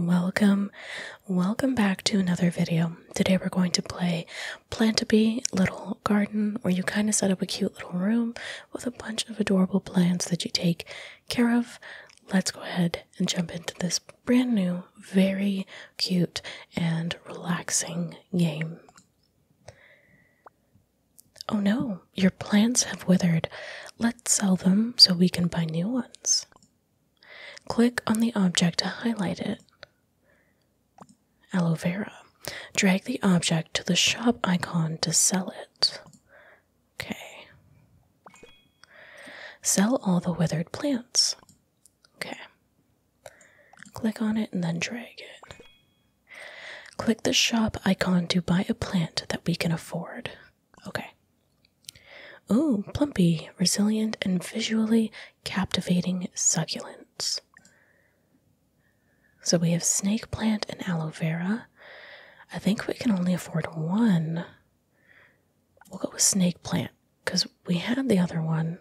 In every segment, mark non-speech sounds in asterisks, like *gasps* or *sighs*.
Welcome, welcome back to another video. Today we're going to play Plantabee Little Garden, where you kind of set up a cute little room with a bunch of adorable plants that you take care of. Let's go ahead and jump into this brand new, very cute, and relaxing game. Oh no, your plants have withered. Let's sell them so we can buy new ones. Click on the object to highlight it. Aloe vera. Drag the object to the shop icon to sell it. Okay. Sell all the withered plants. Okay. Click on it and then drag it. Click the shop icon to buy a plant that we can afford. Okay. Oh, plumpy, resilient, and visually captivating succulents. So we have snake plant and aloe vera. I think we can only afford one. We'll go with snake plant because we had the other one.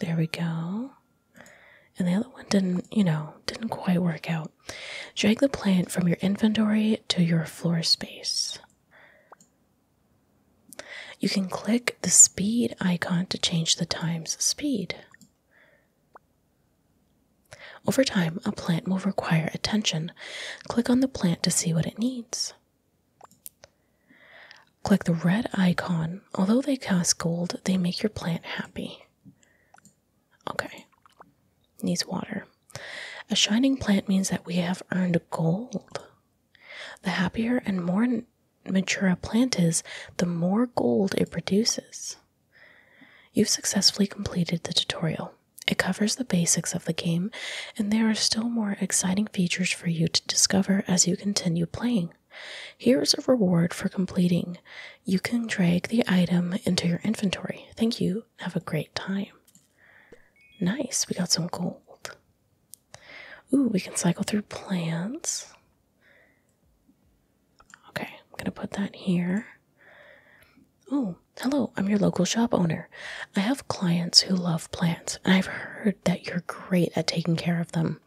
There we go. And the other one didn't, you know, didn't quite work out. Drag the plant from your inventory to your floor space. You can click the speed icon to change the time's speed. Over time, a plant will require attention. Click on the plant to see what it needs. Click the red icon. Although they cost gold, they make your plant happy. Okay, needs water. A shining plant means that we have earned gold. The happier and more mature a plant is, the more gold it produces. You've successfully completed the tutorial. It covers the basics of the game, and there are still more exciting features for you to discover as you continue playing. Here is a reward for completing. You can drag the item into your inventory. Thank you have a great time. Nice, we got some gold. Ooh, we can cycle through plants. Okay, I'm gonna put that here. Oh, hello, I'm your local shop owner. I have clients who love plants, and I've heard that you're great at taking care of them.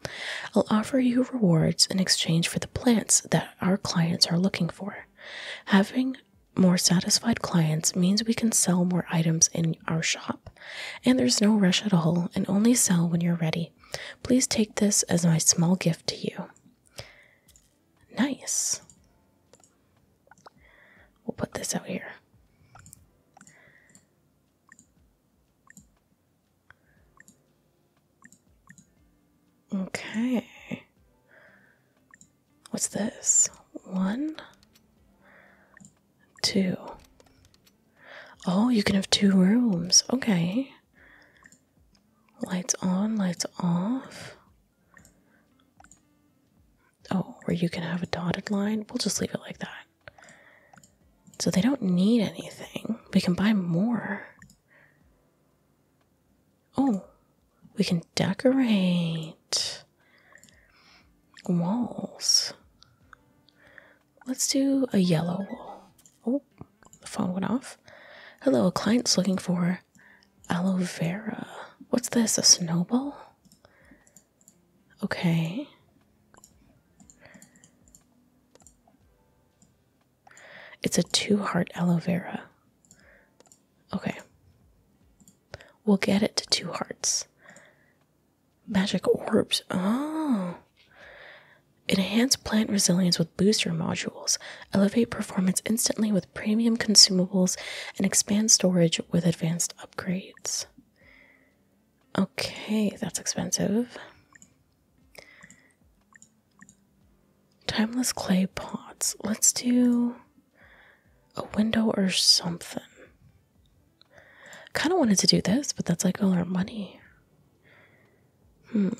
I'll offer you rewards in exchange for the plants that our clients are looking for. Having more satisfied clients means we can sell more items in our shop, and there's no rush at all, and only sell when you're ready. Please take this as my small gift to you. Nice. We'll put this out here. Okay. What's this? One, two. Oh, you can have two rooms. Okay. Lights on, lights off. Oh, where you can have a dotted line. We'll just leave it like that. So they don't need anything. We can buy more. Oh, we can decorate walls. Let's do a yellow wall. Oh, the phone went off. Hello, a client's looking for aloe vera. What's this? A snowball? Okay. It's a two heart aloe vera. Okay. We'll get it to two hearts. Magic orbs. Oh. Enhance plant resilience with booster modules. Elevate performance instantly with premium consumables and expand storage with advanced upgrades. Okay, that's expensive. Timeless clay pots. Let's do a window or something. Kind of wanted to do this, but that's like all our money. Hmm.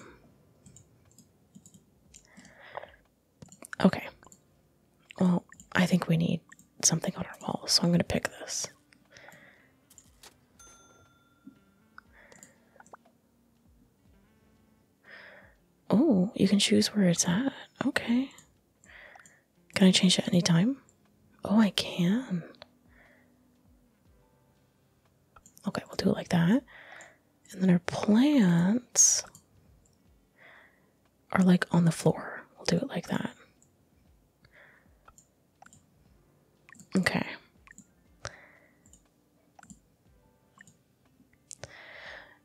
Okay. Well, I think we need something on our wall, so I'm going to pick this. Oh, you can choose where it's at. Okay. Can I change that any time? Oh, I can. Okay, we'll do it like that. And then our plants are like on the floor. We'll do it like that. Okay.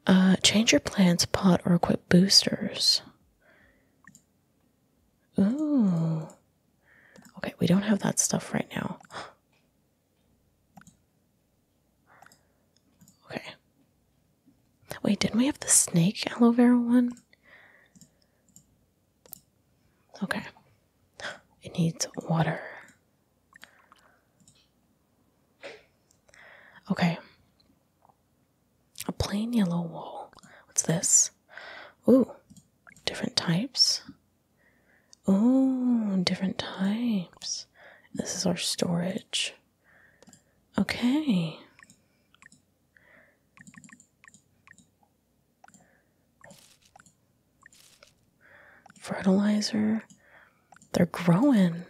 Uh, change your plants, pot, or equip boosters. Ooh. Okay, we don't have that stuff right now. Okay. Wait, didn't we have the snake aloe vera one? Okay. It needs water. Okay. A plain yellow wall. What's this? Ooh, different types. Ooh, different types. This is our storage. Okay. Fertilizer. They're growing.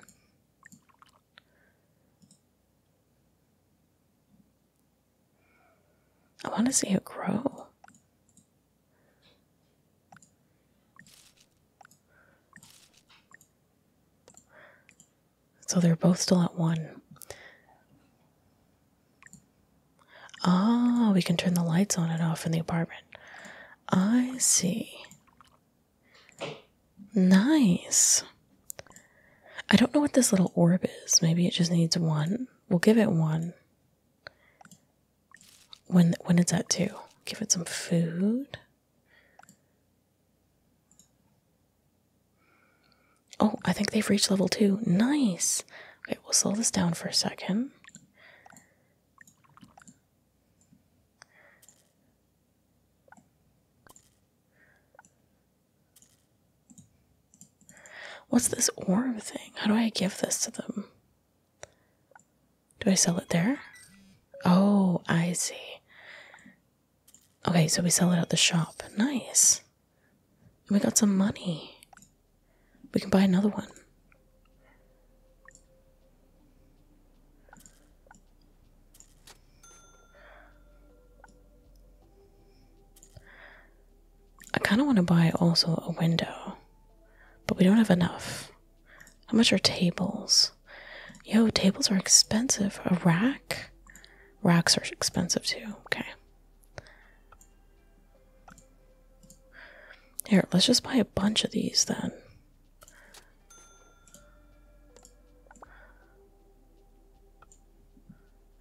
I want to see it grow. So they're both still at one. Oh, we can turn the lights on and off in the apartment. I see. Nice. I don't know what this little orb is. Maybe it just needs one. We'll give it one. When when it's at two, give it some food. Oh, I think they've reached level two. Nice. Okay, we'll slow this down for a second. What's this orb thing? How do I give this to them? Do I sell it there? Oh, I see. Okay, so we sell it at the shop. Nice. We got some money. We can buy another one. I kind of want to buy also a window, but we don't have enough. How much are tables? Yo, tables are expensive. A rack? Racks are expensive too. Okay. Here, let's just buy a bunch of these then.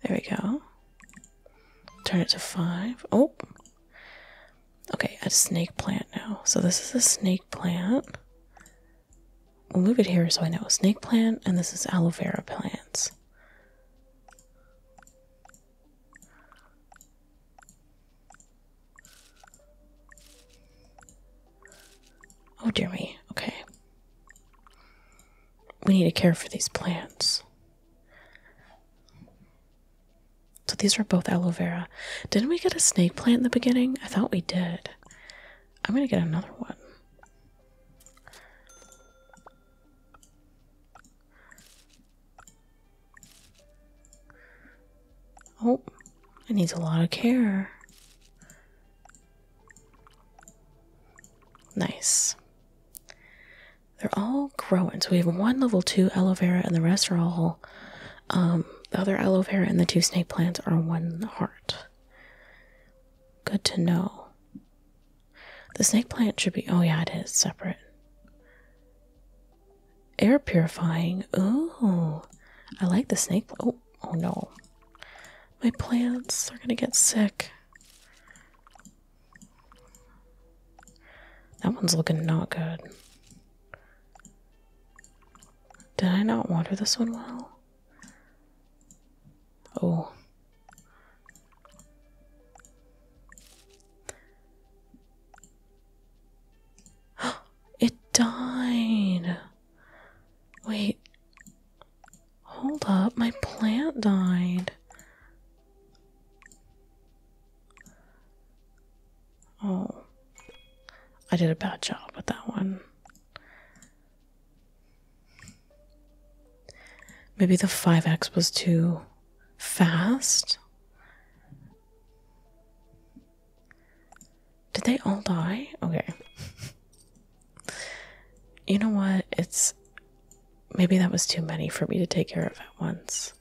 There we go. Turn it to five. Oh! Okay, a snake plant now. So this is a snake plant. move it here so I know. Snake plant, and this is aloe vera plants. Oh dear me, okay. We need to care for these plants. So these are both aloe vera. Didn't we get a snake plant in the beginning? I thought we did. I'm gonna get another one. Oh, it needs a lot of care. Nice. They're all growing. So we have one level two aloe vera, and the rest are all. Um, the other aloe vera and the two snake plants are one heart. Good to know. The snake plant should be. Oh, yeah, it is separate. Air purifying. Ooh. I like the snake. Oh, Oh, no. My plants are gonna get sick. That one's looking not good. Did I not water this one well? Oh. *gasps* It died. Wait. Hold up, my plant died. Oh. I did a bad job with that one. Maybe the 5x was too fast. Did they all die? Okay. you know what? It's. Maybe that was too many for me to take care of at once.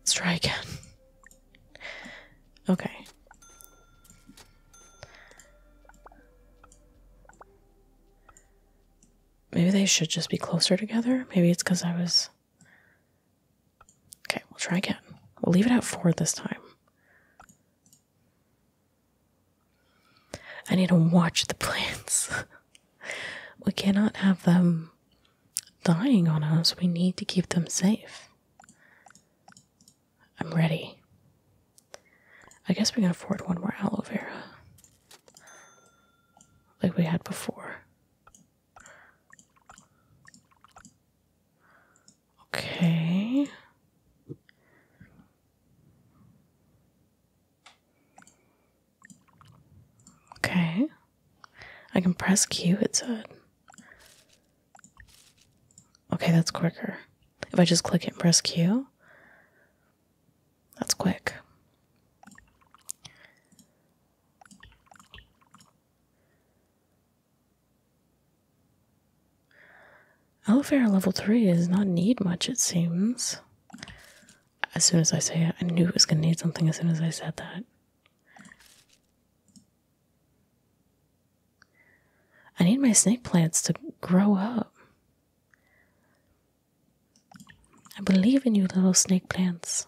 Let's try again. Okay. Maybe they should just be closer together. Maybe it's because I was. Okay, we'll try again. We'll leave it at four this time. I need to watch the plants. *laughs* we cannot have them dying on us. We need to keep them safe. I'm ready. I guess we can afford one more aloe vera. Like we had before. Okay. Okay. I can press Q, it said. Okay, that's quicker. If I just click it press Q, that's quick. Aloe level 3 does not need much, it seems. As soon as I say it, I knew it was going to need something as soon as I said that. I need my snake plants to grow up. I believe in you, little snake plants.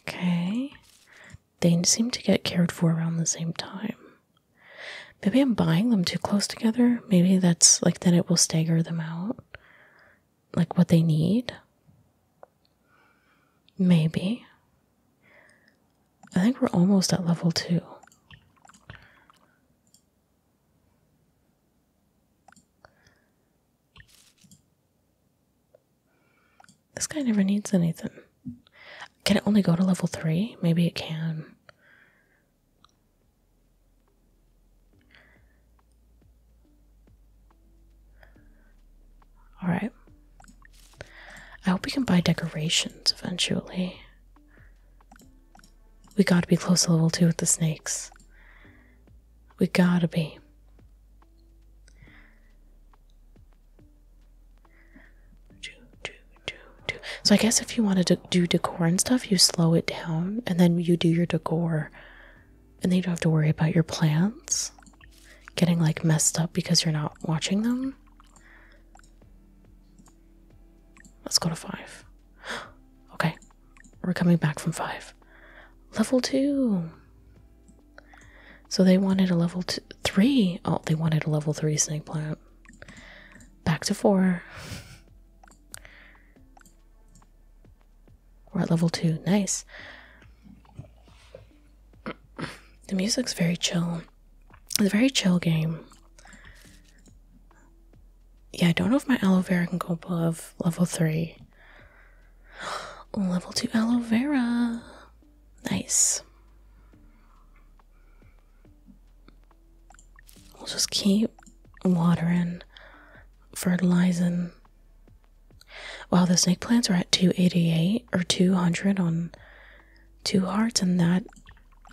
Okay. They seem to get cared for around the same time. Maybe I'm buying them too close together. Maybe that's like that it will stagger them out. Like what they need. Maybe. I think we're almost at level two. This guy never needs anything. Can it only go to level 3? Maybe it can. Alright. I hope we can buy decorations eventually. We gotta be close to level 2 with the snakes. We gotta be. So I guess if you wanted to do decor and stuff, you slow it down and then you do your decor, and then you don't have to worry about your plants getting like messed up because you're not watching them. Let's go to five. *gasps* Okay, we're coming back from five. Level two. So they wanted a level two, three. Oh, they wanted a level three snake plant. Back to four. We're at level two. Nice. The music's very chill. It's a very chill game. Yeah, I don't know if my aloe vera can go above level three. *gasps* Level 2 aloe vera. Nice. We'll just keep watering, fertilizing. Wow, the snake plants are at 288 or 200 on two hearts, and that.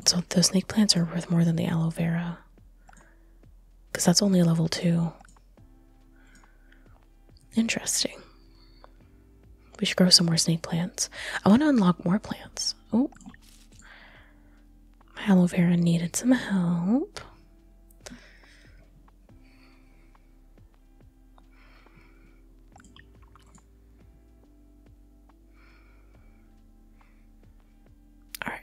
So the snake plants are worth more than the aloe vera. Because that's only level 2. Interesting. We should grow some more snake plants. I want to unlock more plants. Oh. My aloe vera needed some help. Alright.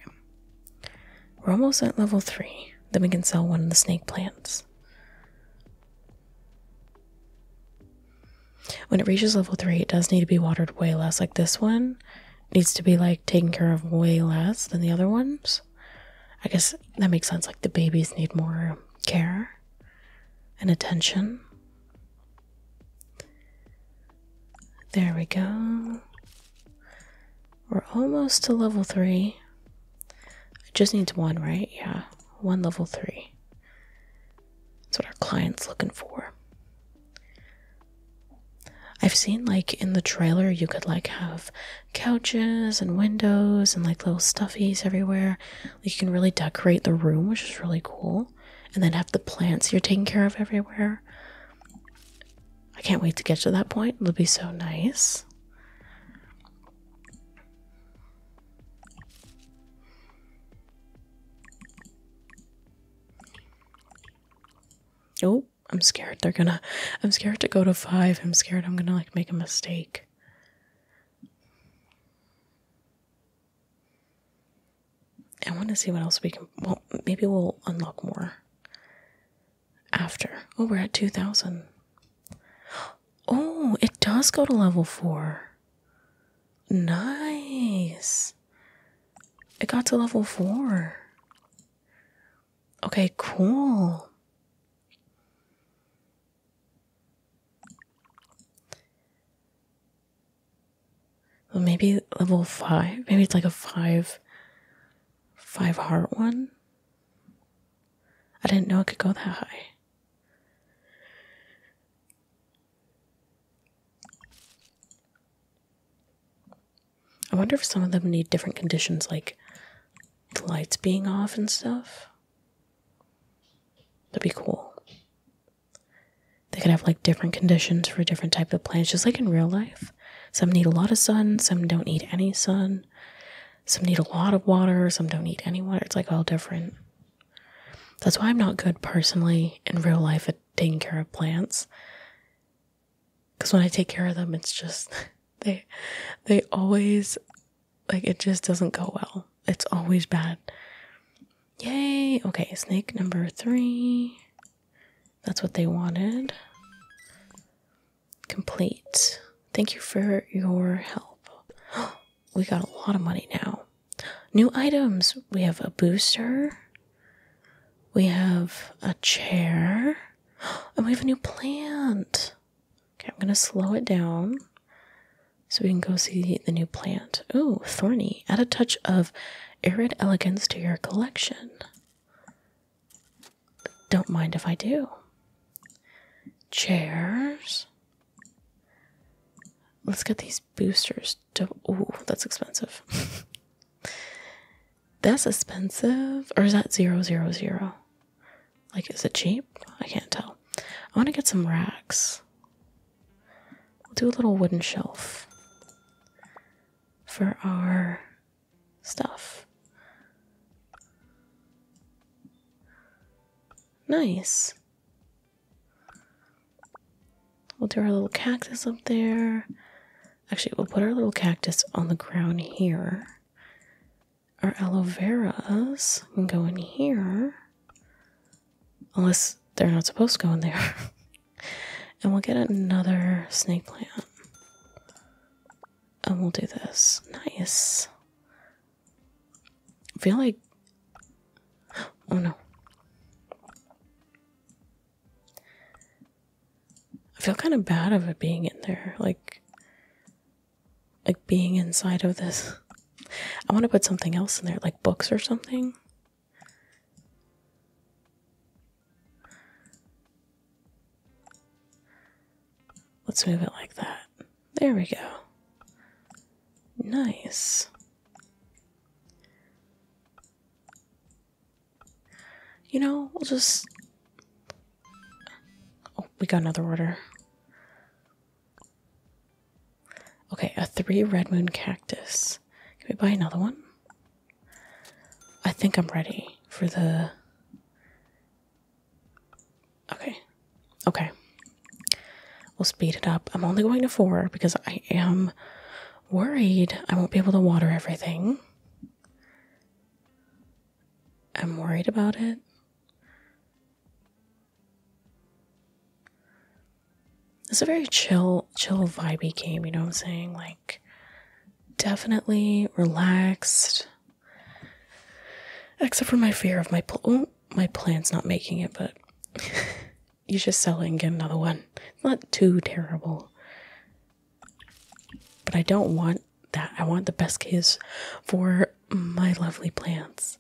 We're almost at level 3. Then we can sell one of the snake plants. When it reaches level 3, it does need to be watered way less. Like this one needs to be like taken care of way less than the other ones. I guess that makes sense. Like the babies need more care and attention. There we go. We're almost to level 3. It just needs one, right? Yeah, one level three. That's what our client's looking for. I've seen like in the trailer you could like have couches and windows and like little stuffies everywhere. you can really decorate the room, which is really cool. And then have the plants you're taking care of everywhere. I can't wait to get to that point. It'll be so nice. Oh, I'm scared they're gonna. I'm scared to go to five. I'm scared I'm gonna like make a mistake. I want to see what else we can. Well, maybe we'll unlock more after. Oh, we're at 2,000. Oh, it does go to level four. Nice. It got to level four. Okay, cool. Well, maybe level five. Maybe it's like a five, five heart one. I didn't know it could go that high. I wonder if some of them need different conditions, like the lights being off and stuff. That'd be cool. They could have like different conditions for different type of plants, just like in real life. Some need a lot of sun, some don't need any sun. Some need a lot of water, some don't need any water. It's like all different. That's why I'm not good personally in real life at taking care of plants. Cause when I take care of them, it's just *laughs* they they always like it just doesn't go well. It's always bad. Yay! Okay, snake number three. That's what they wanted. Complete. Thank you for your help. *gasps* We got a lot of money now. New items. We have a booster. We have a chair. *gasps* And we have a new plant. Okay, I'm going to slow it down so we can go see the new plant. Oh, thorny. Add a touch of arid elegance to your collection. Don't mind if I do. Chairs. Let's get these boosters. Oh, that's expensive. *laughs* that's expensive. Or is that zero zero zero? Like, is it cheap? I can't tell. I want to get some racks. We'll do a little wooden shelf for our stuff. Nice. We'll do our little cactus up there. Actually, we'll put our little cactus on the ground here. Our aloe veras can go in here. Unless they're not supposed to go in there. *laughs* and we'll get another snake plant. And we'll do this. Nice. I feel like oh no. I feel kind of bad of it being in there, like like being inside of this. I want to put something else in there, like books or something. Let's move it like that. There we go. Nice. You know, we'll just... Oh, we got another order. Okay, a three red moon cactus. Can we buy another one? I think I'm ready for the Okay. Okay. We'll speed it up. I'm only going to four because I am worried I won't be able to water everything. I'm worried about it. It's a very chill, chill vibey game, you know what I'm saying? Like definitely relaxed. Except for my fear of my oh, my plan's not making it, but *laughs* you just sell it and get another one. not too terrible. But I don't want that. I want the best case for my lovely plants.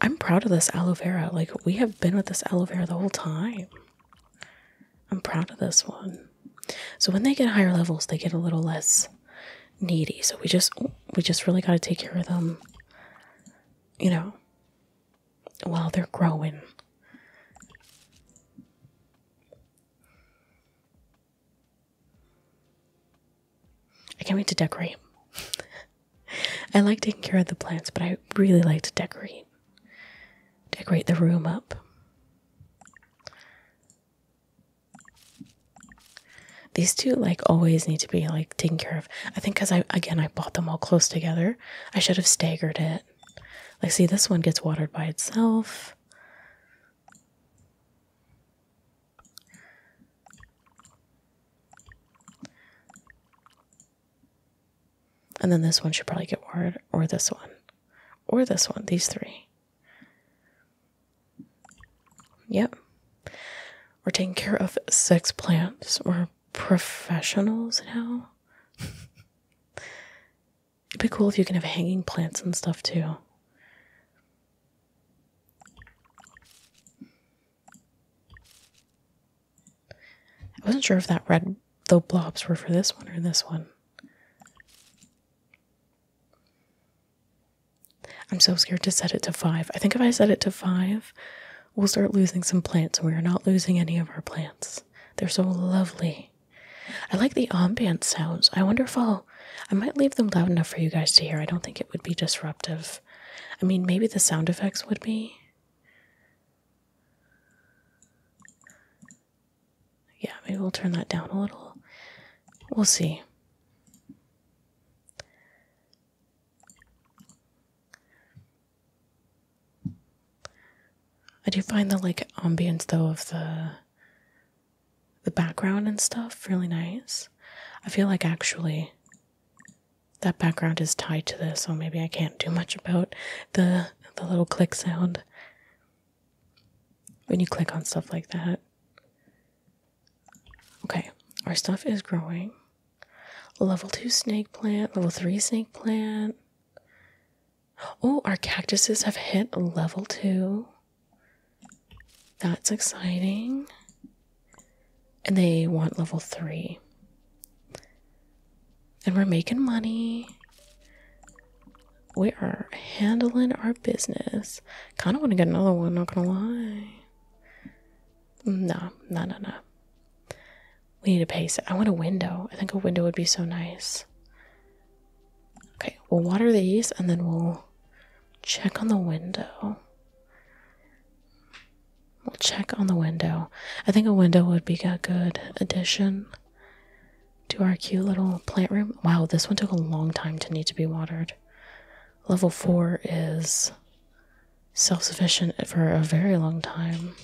I'm proud of this aloe vera. Like, we have been with this aloe vera the whole time. I'm proud of this one. So, when they get higher levels, they get a little less needy, so we just we just really got to take care of them, you know, while they're growing. I can't wait to decorate. *laughs* I like taking care of the plants, but I really like to decorate. Decorate the room up. These two like always need to be like taken care of. I think because I again I bought them all close together. I should have staggered it. Like see this one gets watered by itself. And then this one should probably get watered, or this one, or this one, these three. Yep. We're taking care of sex plants. We're professionals now. *laughs* It'd be cool if you can have hanging plants and stuff too. I wasn't sure if that red the blobs were for this one or this one. I'm so scared to set it to five. I think if I set it to five, we'll start losing some plants. We are not losing any of our plants. They're so lovely. I like the ambient sounds. I wonder if I'll. I might leave them loud enough for you guys to hear. I don't think it would be disruptive. I mean, maybe the sound effects would be. Yeah, maybe we'll turn that down a little. We'll see. I do find the like ambiance though of the the background and stuff really nice. I feel like actually that background is tied to this, so maybe I can't do much about the the little click sound when you click on stuff like that. Okay, our stuff is growing. Level 2 snake plant, level 3 snake plant. Oh, our cactuses have hit level 2. That's exciting. And they want level 3. And we're making money. We are handling our business. Kind of want to get another one, not gonna lie. No, no, no, no. We need a pace. I want a window. I think a window would be so nice. Okay, we'll water these and then we'll check on the window. We'll check on the window. I think a window would be a good addition to our cute little plant room. Wow, this one took a long time to need to be watered. Level 4 is self sufficient for a very long time.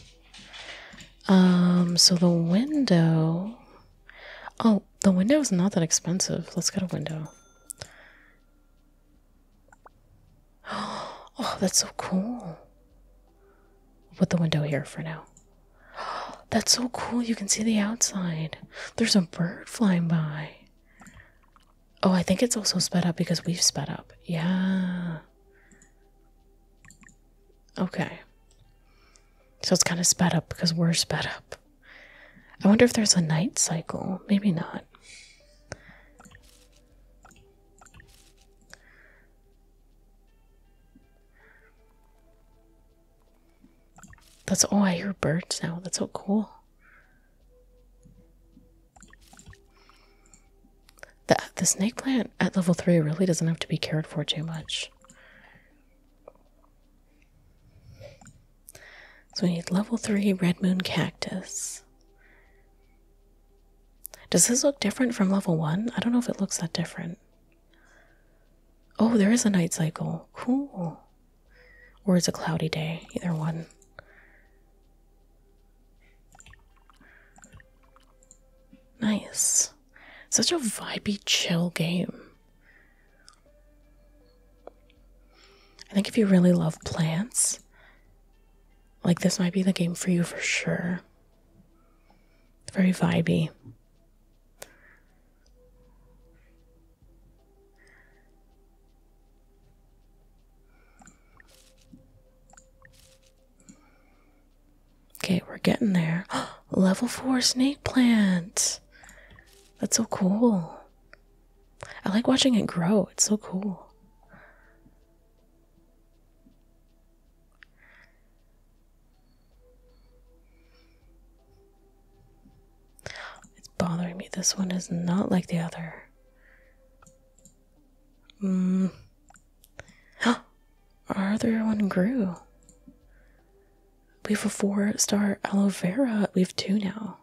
Um, so the window. Oh, the window is not that expensive. Let's get a window. *gasps* Oh, that's so cool. put the window here for now. *gasps* That's so cool. You can see the outside. There's a bird flying by. Oh, I think it's also sped up because we've sped up. Yeah. Okay. So it's kind of sped up because we're sped up. I wonder if there's a night cycle. Maybe not. That's oh I hear birds now. That's so cool. The, the snake plant at level 3 really doesn't have to be cared for too much. So we need level 3 red moon cactus. Does this look different from level 1? I don't know if it looks that different. Oh, there is a night cycle. Cool. Or is a cloudy day, either one. Nice. Such a vibey, chill game. I think if you really love plants, like this might be the game for you for sure. Very vibey. Okay, we're getting there. *gasps* Level 4 snake plant. That's so cool. I like watching it grow. It's so cool. It's bothering me. This one is not like the other. Oh, *gasps* Our other one grew. We have a four star aloe vera. We have two now.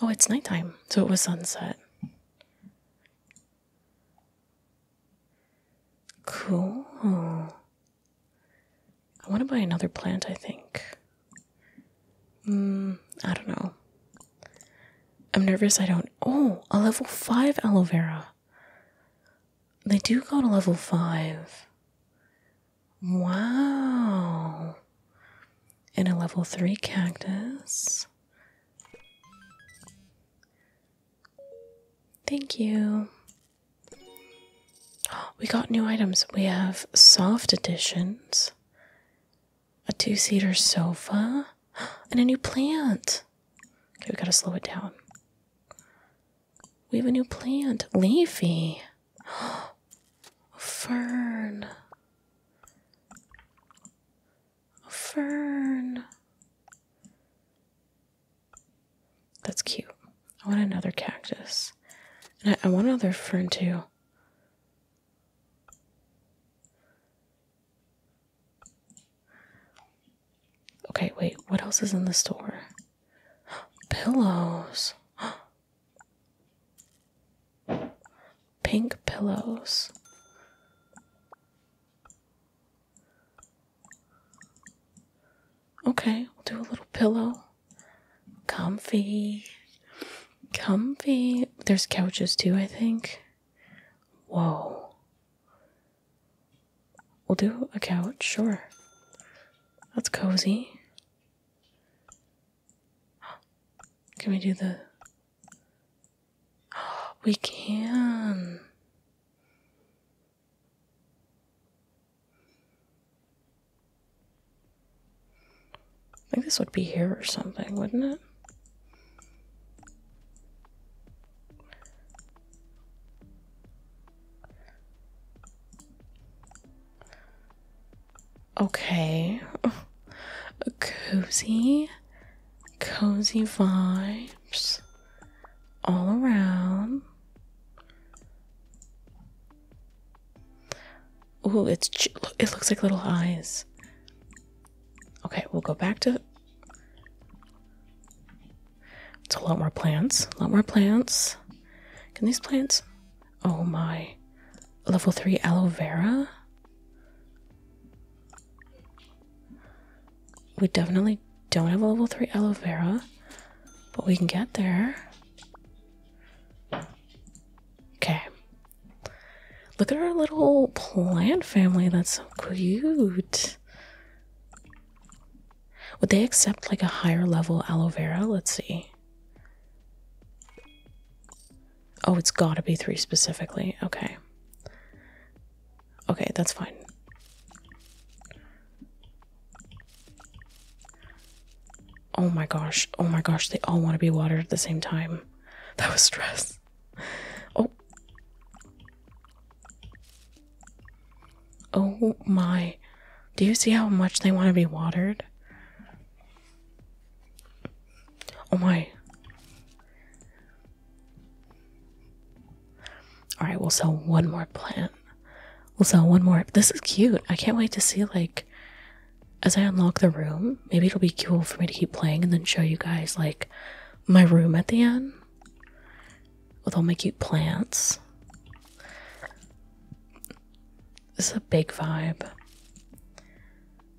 Oh, it's nighttime, so it was sunset. Cool. I want to buy another plant, I think. Hmm, I don't know. I'm nervous I don't. Oh, a level 5 aloe vera. They do go to level 5. Wow. And a level 3 cactus. Thank you. *gasps* We got new items. We have soft editions a two seater sofa, *gasps* and a new plant. Okay, we gotta slow it down. We have a new plant, leafy. A *gasps* fern. A fern. That's cute. I want another cactus. And I want another fern too. Okay, wait, what else is in the store? *gasps* Pillows. *gasps* Pink pillows. Okay, we'll do a little pillow. Comfy. Comfy. There's couches too, I think. Whoa. We'll do a couch, sure. That's cozy. *gasps* Can we do the. *gasps* We can. I think this would be here or something, wouldn't it? Okay. *laughs* Cozy. Cozy vibes. All around. Ooh, it's it looks like little eyes. Okay, we'll go back to It's a lot more plants. A lot more plants. Can these plants? Oh my. Level 3 aloe vera? We definitely don't have a level 3 aloe vera, but we can get there. Okay. Look at our little plant family. That's so cute. Would they accept like a higher level aloe vera? Let's see. Oh, it's gotta be three specifically. Okay. Okay, that's fine. Oh my gosh. Oh my gosh. They all want to be watered at the same time. *laughs* That was stress. Oh. Oh my. Do you see how much they want to be watered? Oh my. Alright, we'll sell one more plant. We'll sell one more. This is cute. I can't wait to see, like, as I unlock the room, maybe it'll be cool for me to keep playing and then show you guys like my room at the end with all my cute plants. This is a big vibe.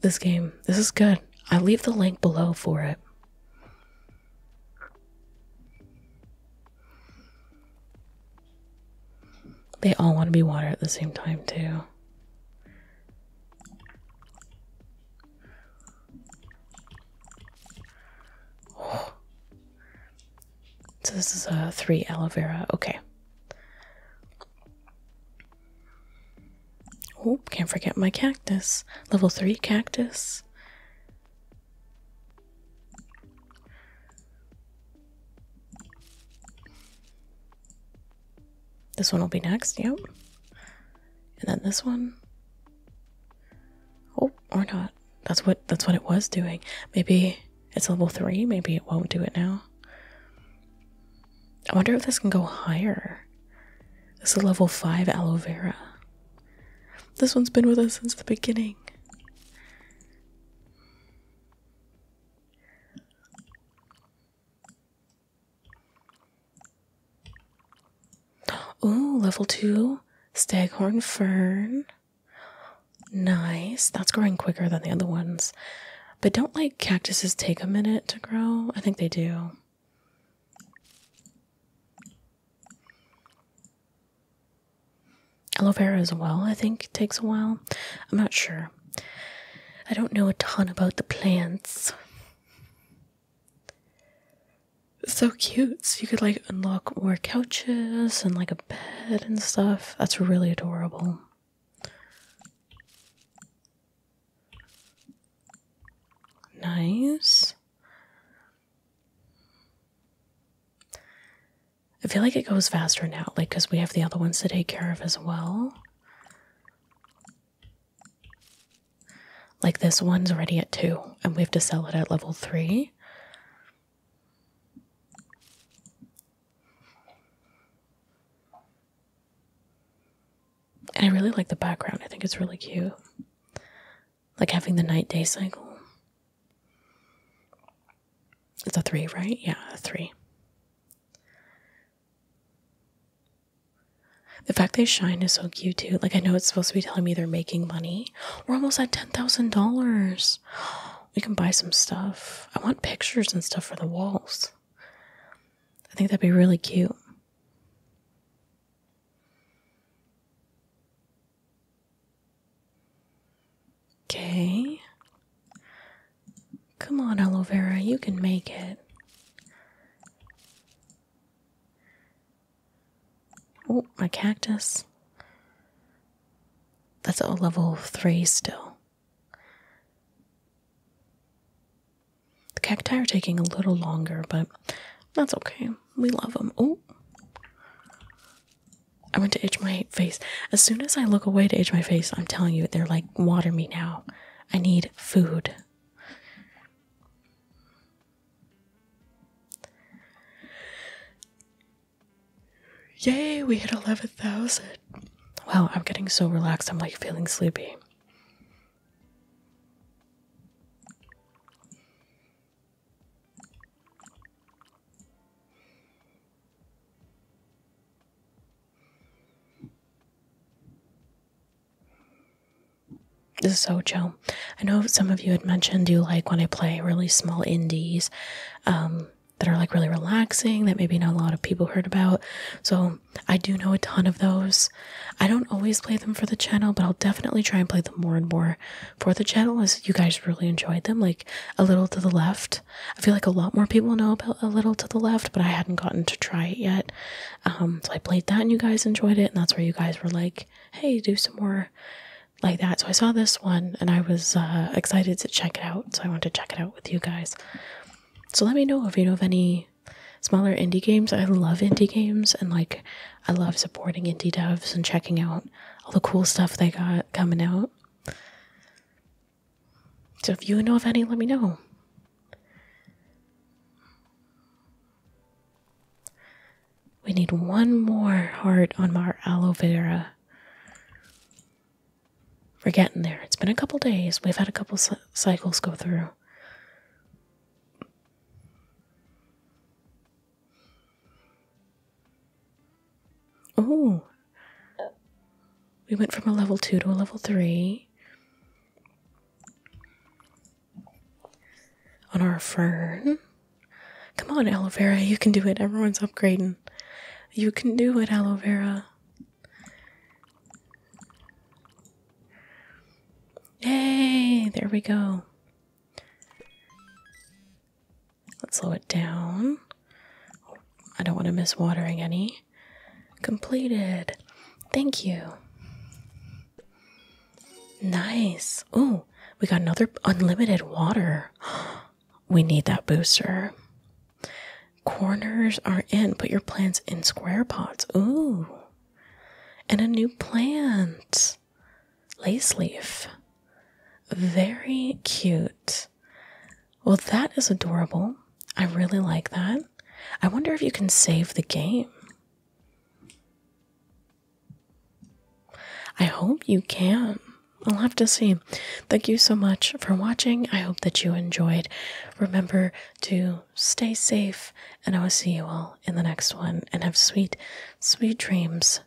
This game, this is good. I leave the link below for it. They all want to be water at the same time, too. *sighs* So, this is a uh, three aloe vera. Okay. Oh, can't forget my cactus. Level three cactus. This one will be next, yep. And then this one. Oh, or not. That's what that's what it was doing. Maybe it's level three, maybe it won't do it now. I wonder if this can go higher. This is level five aloe vera. This one's been with us since the beginning. Ooh, level two staghorn fern. Nice. That's growing quicker than the other ones. But don't like cactuses take a minute to grow? I think they do. Aloe vera as well, I think, takes a while. I'm not sure. I don't know a ton about the plants. so cute. So you could like unlock more couches and like a bed and stuff. That's really adorable. Nice. I feel like it goes faster now, like, because we have the other ones to take care of as well. Like this one's ready at two, and we have to sell it at level three. I really like the background, I think it's really cute. Like having the night day cycle. It's a three, right? Yeah, a three. The fact they shine is so cute too. Like I know it's supposed to be telling me they're making money. We're almost at ten thousand dollars. *gasps* We can buy some stuff. I want pictures and stuff for the walls. I think that'd be really cute. Okay. Come on, aloe vera, you can make it. Oh, my cactus. That's a level 3 still. The cacti are taking a little longer, but that's okay. We love them. Oh, I want to itch my face. As soon as I look away to age my face, I'm telling you, they're like, water me now. I need food. Yay, we hit 11,000. Wow, I'm getting so relaxed, I'm like feeling sleepy. This is so, Ocho. I know some of you had mentioned you like when I play really small indies um, that are like really relaxing, that maybe not a lot of people heard about. So I do know a ton of those. I don't always play them for the channel, but I'll definitely try and play them more and more for the channel as you guys really enjoyed them. Like a little to the left I feel like a lot more people know about a little to the left, but I hadn't gotten to try it yet. Um, so I played that and you guys enjoyed it, and that's where you guys were like, hey, do some more like that. So I saw this one and I was uh, excited to check it out, so I wanted to check it out with you guys. So let me know if you know of any smaller indie games. I love indie games and like I love supporting indie devs and checking out all the cool stuff they got coming out. So if you know of any, let me know. We need one more heart on our aloe vera. We're getting there. It's been a couple days. We've had a couple cycles go through. Oh, we went from a level 2 to a level 3 on our fern. Come on, aloe vera, you can do it. Everyone's upgrading. You can do it, aloe vera. Yay, there we go. Let's slow it down. I don't want to miss watering any completed. Thank you. Nice. Oh, we got another unlimited water. *gasps* We need that booster. Corners are in. Put your plants in square pots. Ooh. And a new plant. Lace leaf. Very cute. Well, that is adorable. I really like that. I wonder if you can save the game. I hope you can. I'll have to see. Thank you so much for watching. I hope that you enjoyed. Remember to stay safe, and I will see you all in the next one. And have sweet, sweet dreams.